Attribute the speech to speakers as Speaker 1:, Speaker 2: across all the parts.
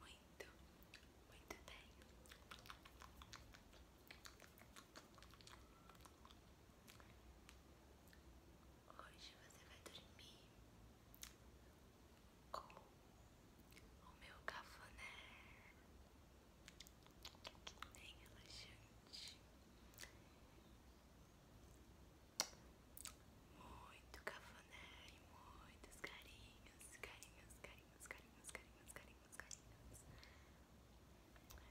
Speaker 1: muito, muito bem. Hoje você vai dormir com o meu cafuné bem relaxante. Muito cafuné muitos carinhos, carinhos, carinhos carinhos, carinhos, carinhos, carinhos,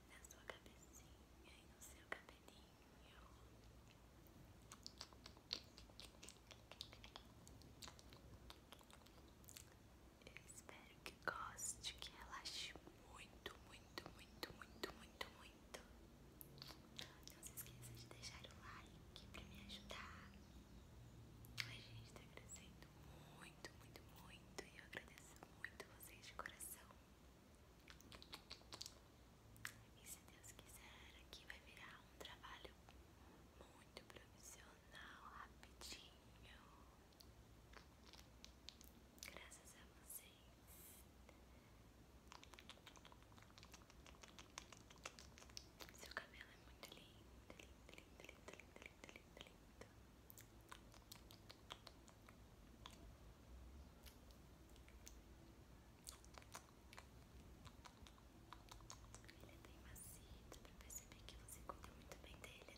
Speaker 1: na sua cabecinha e no seu cabelinho. Eu espero que goste, que relaxe muito, muito, muito, muito, muito, muito. Não se esqueça de deixar o like pra me ajudar. A gente tá crescendo muito, muito, muito, E eu agradeço muito vocês de coração. E se Deus quiser, aqui vai virar um trabalho muito profissional, rapidinho. Graças a vocês. Seu cabelo é muito lindo, lindo, ele é bem macio, para perceber que você cuida muito bem dele, né?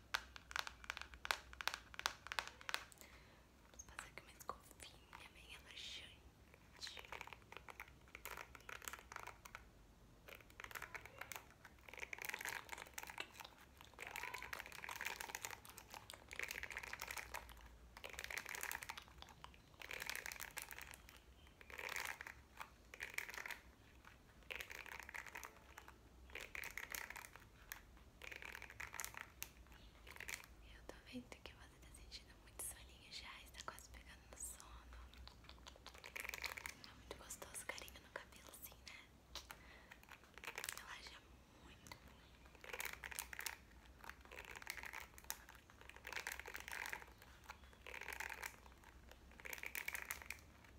Speaker 1: Vamos fazer com uma escovinha bem relaxante. Vamos eu tô vendo que você tá sentindo muito soninho já, está quase pegando no sono. É muito gostoso carinho no cabelo assim, né? Relaxa muito.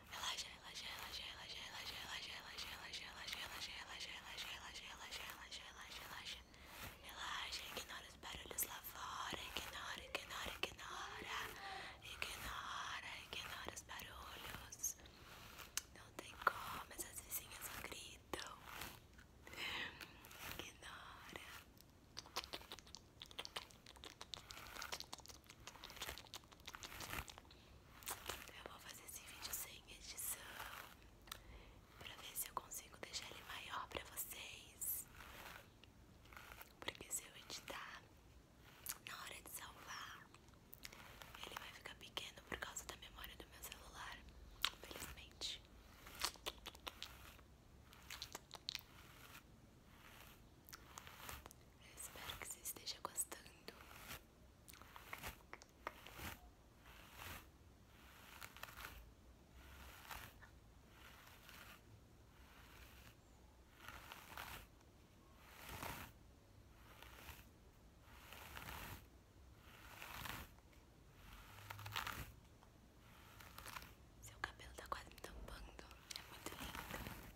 Speaker 1: Relaxa, relaxa, relaxa, relaxa, relaxa, relaxa, relaxa, relaxa, relaxa, relaxa, relaxa, relaxa, relaxa, relaxa, relaxa, relaxa. Relaxa, ignora os barulhos lá fora, ignora, ignora, ignora. Ignora, ignora os barulhos. Não tem como, essas vizinhas só gritam. Ignora. Eu vou fazer esse vídeo sem edição pra ver se eu consigo deixar ele maior pra vocês. Porque se eu editar na hora de salvar, ele vai ficar pequeno por causa da memória do meu celular, felizmente. Eu espero que você esteja gostando seu cabelo está quase me tampando, é muito lindo.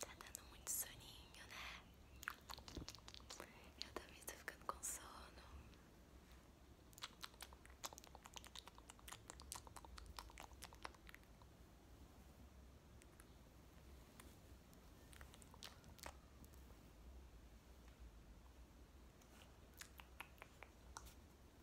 Speaker 1: Tá dando muito soninho, né? Eu também estou ficando com sono.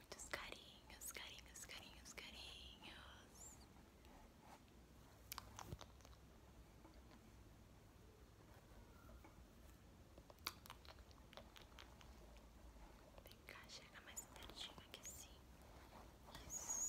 Speaker 1: Muitos carinhos, carinhos, carinhos, carinhos. Vem cá, chega mais pertinho aqui assim. Isso.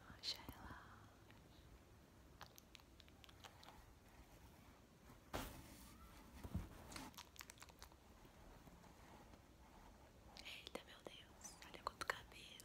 Speaker 1: Relaxa, relaxa. Eita, meu Deus, olha quanto cabelo.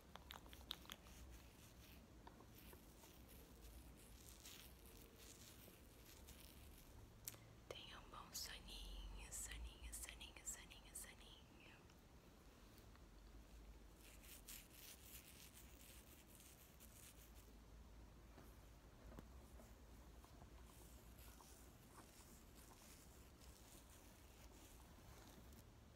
Speaker 1: Tenha um bom soninho, soninho, soninho, soninho, soninho.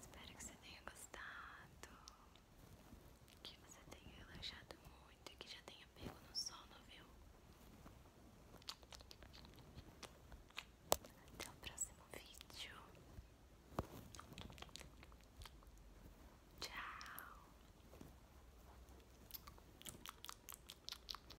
Speaker 1: Espero que você tenha gostado, que você tenha relaxado muito que já tenha pego no sono, viu? Até o próximo vídeo. Tchau.